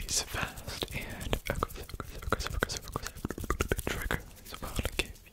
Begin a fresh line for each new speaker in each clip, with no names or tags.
These fast and aggressive, aggressive, aggressive, aggressive, aggressive triggers will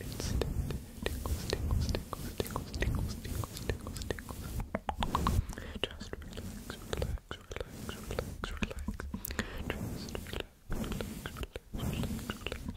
instant tingles, tingles, tingles, tingles, tingles, tingles, tingles, tingles. Just relax, relax, relax, relax, relax. Just relax, relax, relax, relax, relax.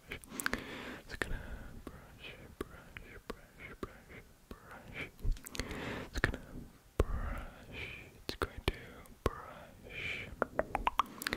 brush. Just gonna brush, brush, brush, brush, brush. It's gonna brush. It's going to brush. It's going to brush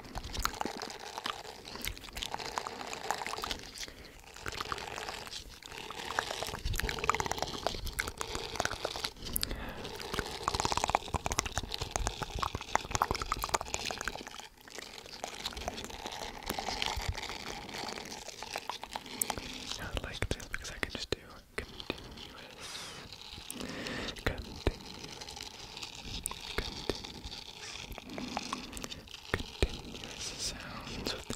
I like this because I can just do continuous continuous, continuous, continuous sounds with it.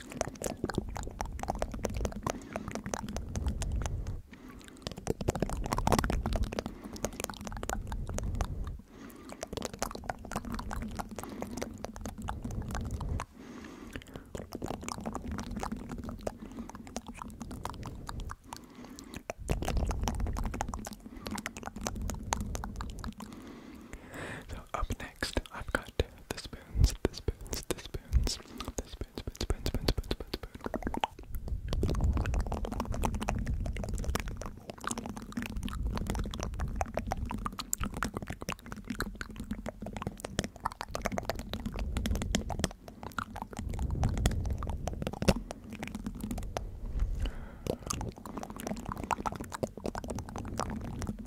So up next, I've got the spoons, the spoons, the spoons, the spoons, spoons, spoons, spoons, spoons, spoons, spoons.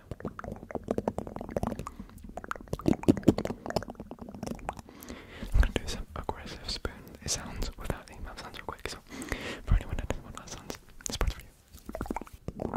I'm gonna do some aggressive spoon sounds without the mouth sounds real quick, so for anyone that doesn't want mouth sounds, this part's for you.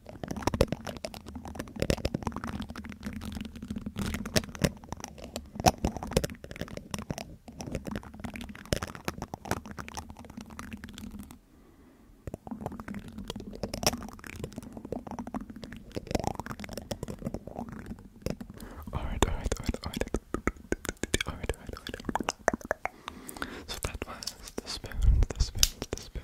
Alright, alright, alright, alright. Alright, alright, alright. So that was the spoon, the spoon, the spoon.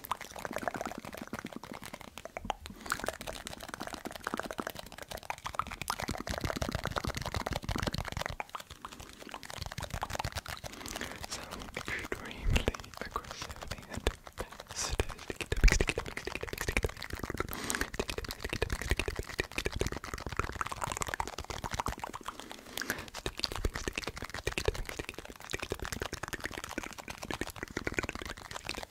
So extremely aggressive and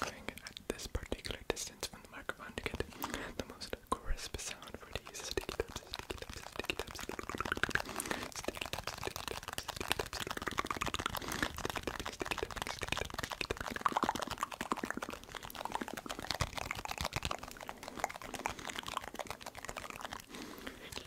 Going at this particular distance from the microphone to get the most crisp sound for the use sticky taps, sticky taps, sticky taps, sticky taps, sticky taps, sticky taps, sticky taps, sticky taps, sticky taps,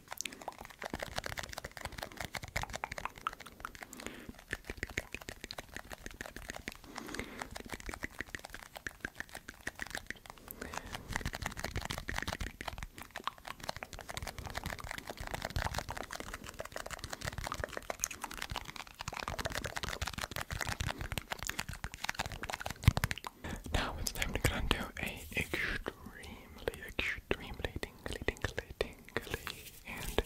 Now it's time to get onto a extreme extremely tingly, tingly, tingly, and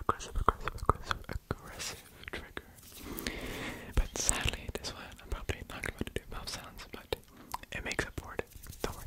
aggressive, aggressive, aggressive, aggressive trigger. But sadly, this one I'm probably not going to do mouth sounds, but it makes up for it. Don't worry.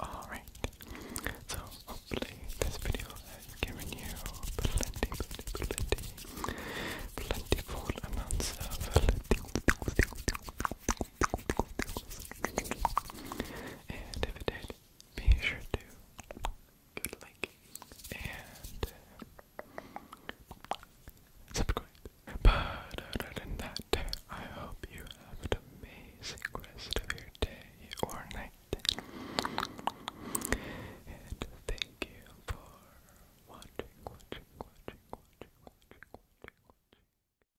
Alright, so hopefully this video has given you plenty, plenty, plentiful amounts of and if it did, be sure to give it a like and uh, subscribe. But other than that, I hope you have an amazing rest of your day or night. And thank you for watching, watching, watching, watching, watching, watching. watching.